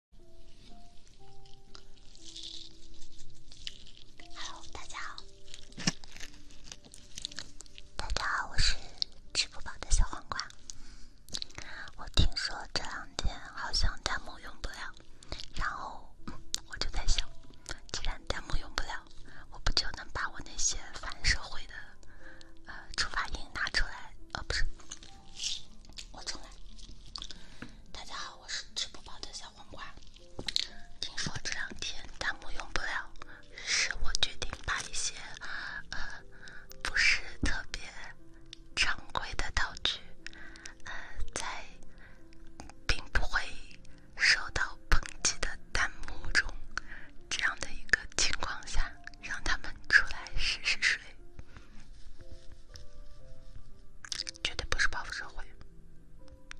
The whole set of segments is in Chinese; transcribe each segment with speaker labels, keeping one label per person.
Speaker 1: h e 大家好，大家好，我是吃不饱的小黄瓜。我听说这两天好像弹幕用不了，然后我就在想，既然弹幕用不了，我不就能把我那些反社会的呃触发音拿出来？哦，不是。我重来。大家好，我是吃不饱的小黄瓜。听说这两天弹幕用不了，于是我决定把一些呃不是特别常规的道具，呃在并不会受到抨击的弹幕中，这样的一个情况下，让他们出来试试水。绝对不是报复社会，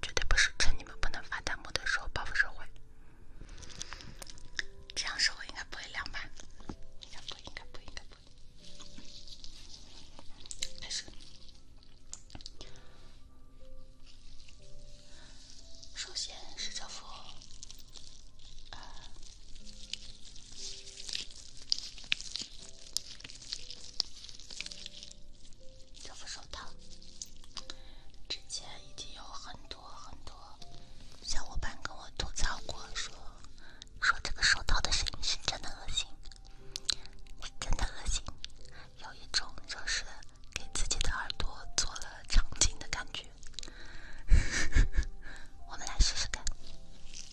Speaker 1: 绝对不是趁你们不能发弹幕的时候报复社会。这样说我应该不会凉吧？应该不应该不应该不应首先是这幅。这副手套，之前已经有很多很多小伙伴跟我吐槽过，说说这个手套的声音是真的恶心，真的恶心，有一种就是给自己的耳朵做了长镜的感觉。我们来试试看。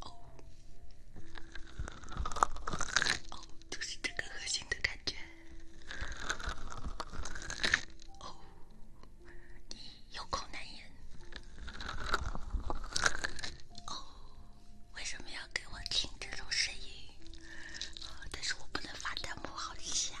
Speaker 1: 哦，哦，就是这个核心的感觉。哦，你有口难言。哦，为什么要给我听这种声音？但是我不能发弹幕，好气啊！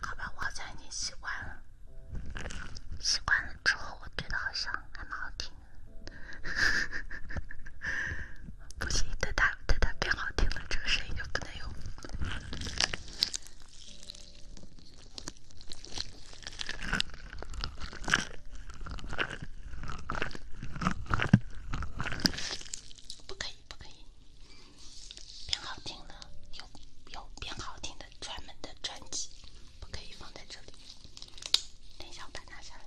Speaker 1: 好吧，我现在已经习惯了。习惯了之后，我觉得好像还蛮好听。不行，等它等它变好听了，这个声音就不能用。不可以，不可以，变好听了，有有变好听的专门的专辑，不可以放在这里。联想板拿下来。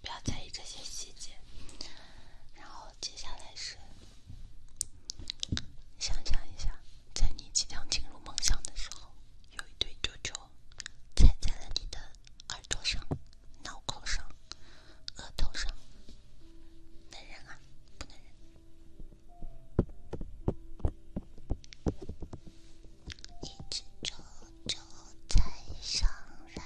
Speaker 1: 不要在意这些细节，然后接下来是，想象一下，在你即将进入梦想的时候，有一对啾啾踩在了你的耳朵上、脑壳上、额头上，能忍啊，不能忍。一直走，走才上来。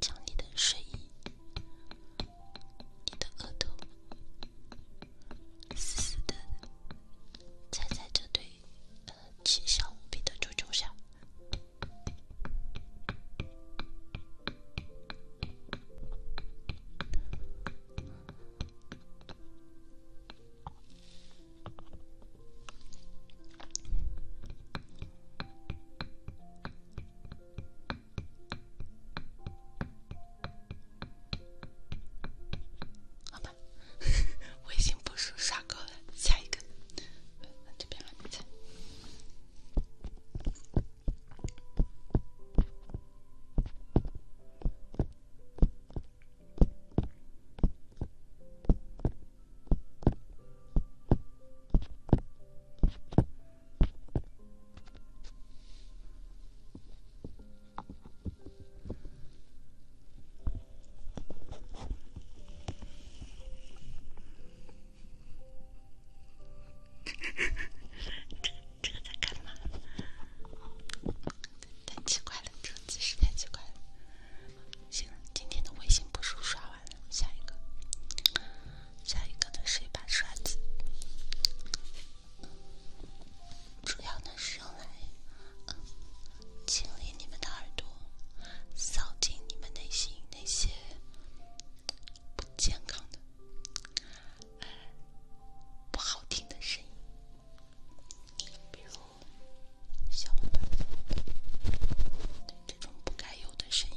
Speaker 1: 将你的睡衣，你的额头，死死的踩在这对呃奇小无比的猪猪上。好吧，微信步数刷够了，下一个，这边来。这个这个在干嘛？太奇怪了，这几十太奇怪了。行了，今天的微信步数刷完了，下一个，下一个呢是一把刷子，主要呢是用来清理你们的耳朵，扫净你们内心那些不健康的、不好听的声音。比如。小停吧，对这种不该有的声音。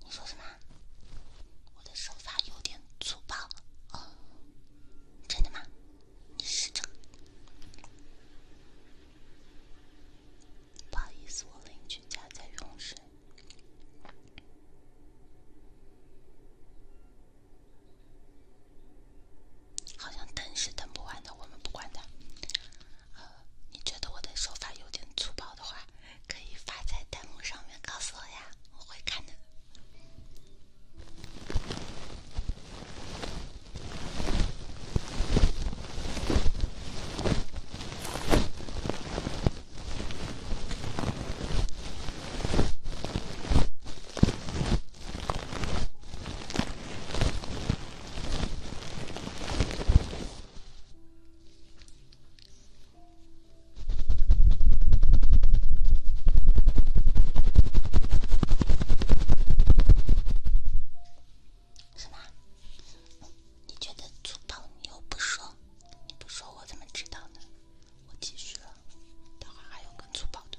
Speaker 1: 你说什么？我的手法有点粗暴，哦，真的吗？你试着。不好意思，我邻居家在用水，好像等是等不完的，我们不管的。呃，你觉得我的说法有点粗暴的话，可以发在弹幕上面告诉我呀，我会看的。什么？你觉得粗暴？你又不说，你不说我怎么知道呢？我继续，待会儿还有更粗暴的。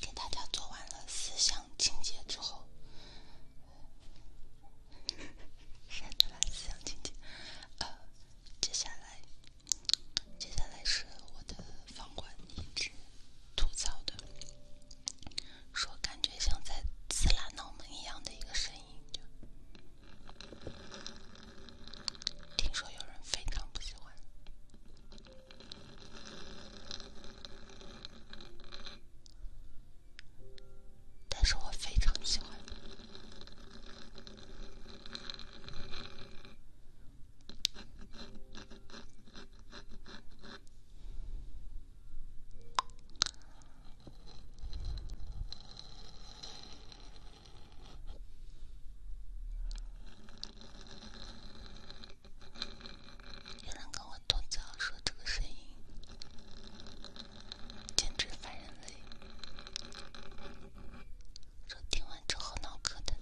Speaker 1: 给大家做完了思想清洁之后，删掉了思想清洁。呃，接下来，接下来是我的房管一直吐槽的，说感觉像在刺拉脑门一样的一个声音，就听说有人非常不喜欢。但是我非常喜欢你。有人跟我吐槽说这个声音简直烦人类，说听完之后脑壳疼，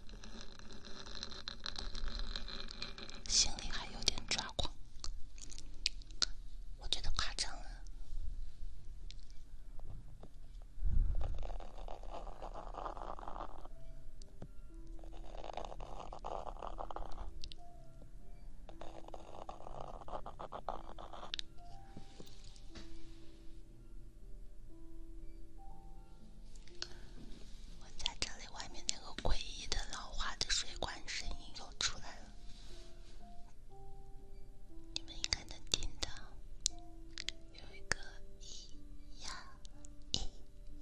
Speaker 1: 心里还有点抓狂。我觉得夸张了。我在这里，外面那个诡异的老化的水管声音又出来了，你们应该能听到，有一个一呀一。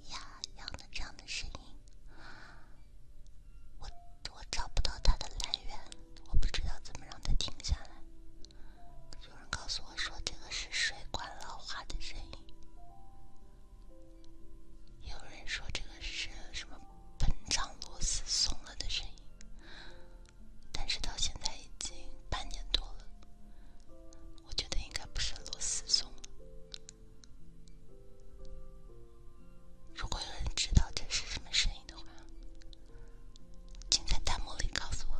Speaker 1: 呀，这样的这样的声音，我我找不到它的来源，我不知道怎么让它停下来。有人告诉我说这个是水管老化的声音，有人说这个是什么膨胀螺丝松了的声音，但是到现在已经半年多了。我觉得应该不是螺丝松了。如果有人知道这是什么声音的话，请在弹幕里告诉我。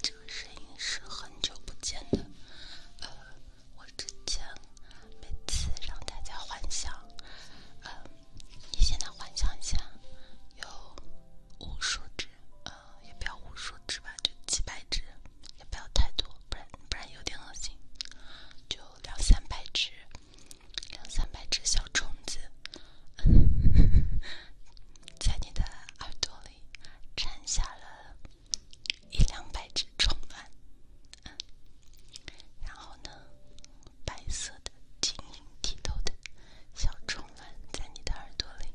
Speaker 1: 这个声音是很久不见的，呃，我之前每次让大家幻想，呃，你现在幻想一下，有无数只，呃，也不要无数只吧，就几百只，也不要太多，不然不然有点恶心，就两三百只，两三百只小虫子，在你的耳朵里。产下了一两百只虫卵，然后呢，白色的、晶莹剔透的小虫卵在你的耳朵里，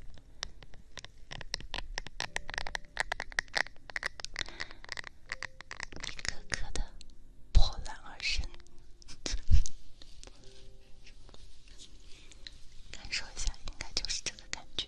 Speaker 1: 一个个的破卵而生，感受一下，应该就是这个感觉。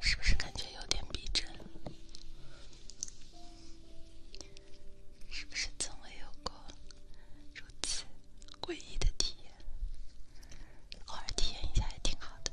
Speaker 1: 是不是感觉有点逼真？是不是从未有过如此诡异的体验？偶尔体验一下也挺好的。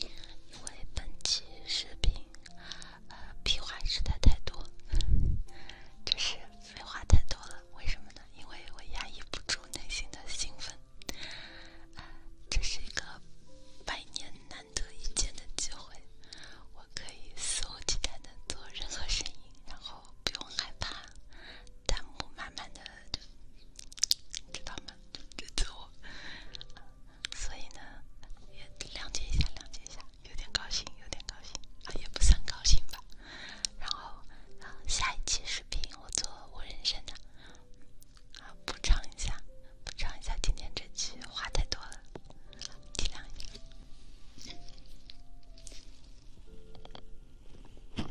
Speaker 1: 因为本期视频呃，屁话实在太多，就是废话太多了。为什么呢？因为我压抑不住内心的兴奋，这是一个百年难得一见的机会，我可以肆无忌惮的做任何声音，然后不用害怕弹幕满满的，知道吗？跟着我，所以呢，也谅解一下，谅解一下，有点高兴，有点高兴，啊，也不算高兴吧。然后，下一期视频我做我人生的，啊，补偿一下，补偿一下今天这期话太多了，体谅一下。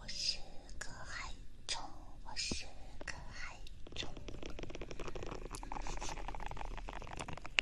Speaker 1: 我是个害虫，我是个害虫。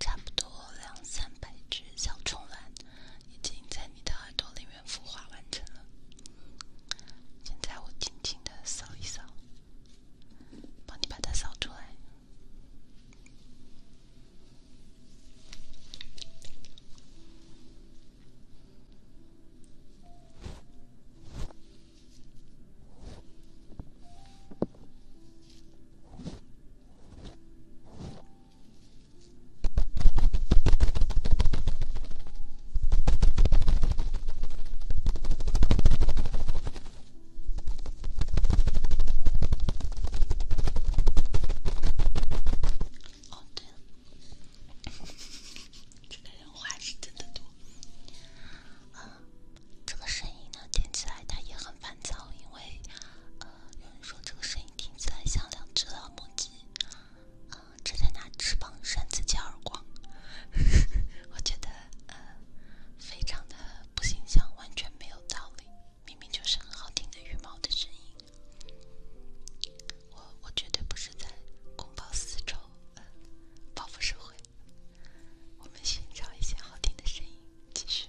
Speaker 1: 差不多两三百只小虫卵已经在你的耳朵里面孵化完成了。现在我轻轻的扫一扫，帮你把它扫出来。哦，对了，这个人话是真的多。啊，这个声音呢，听起来它也很烦躁，因为呃，有人说这个声音听起来像两只老母鸡。正在拿翅膀扇自己耳光，我觉得呃非常的不形象，完全没有道理，明明就是很好听的羽毛的声音，我我绝对不是在公报私仇，报复社会。我们寻找一些好听的声音，继续。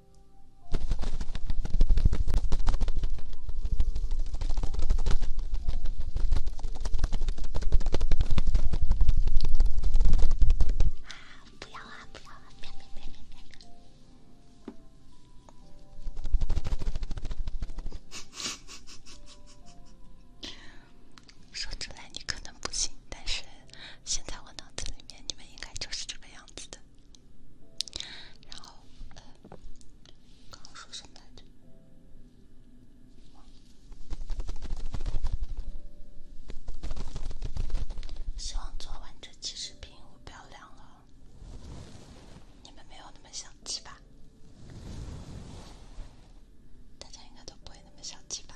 Speaker 1: 啊！不要啊！不要啊！别别别别别！说出来你可能不信，但是。现在我脑子里面，你们应该就是这个样子的。然后，呃，刚刚说什么来着？希望做完这期视频，我不要凉了。你们没有那么小气吧？大家应该都不会那么小气吧？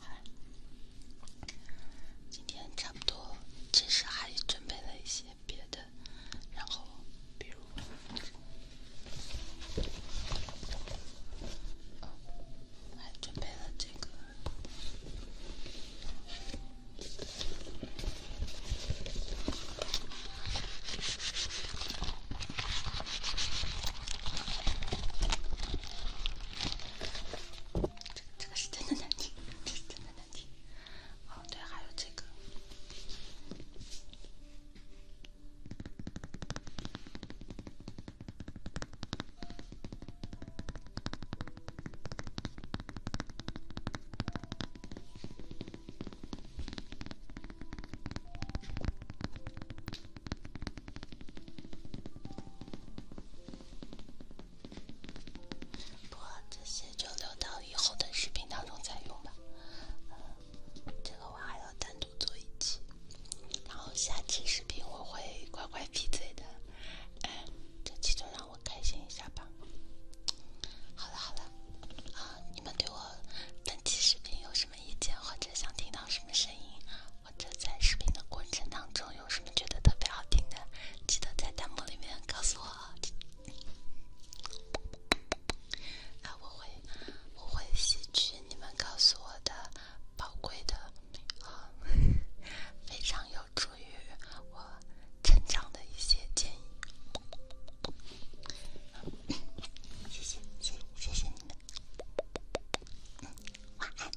Speaker 1: 好今天差不多，其实还准备了一些。别的，然后比如，还准备了这个，这个这个是真的难听，这是真的难听。哦，对，还有这个。不过这些就留到以后的视频当中再用吧。嗯这个我还要单独做一期，然后下期视频我会乖乖闭嘴的。哎，这期就让我开心一下吧。好了好了，啊，你们对我本期视频有什么意见，或者想听到什么声音，或者在视频的过程当中有什么觉得特别好听的，记得在弹幕里面告诉我。那我会，我会吸取你们告诉我的宝贵的，呃，非常有助于我成长的一些建议。谢谢，谢谢，谢谢你们。晚安。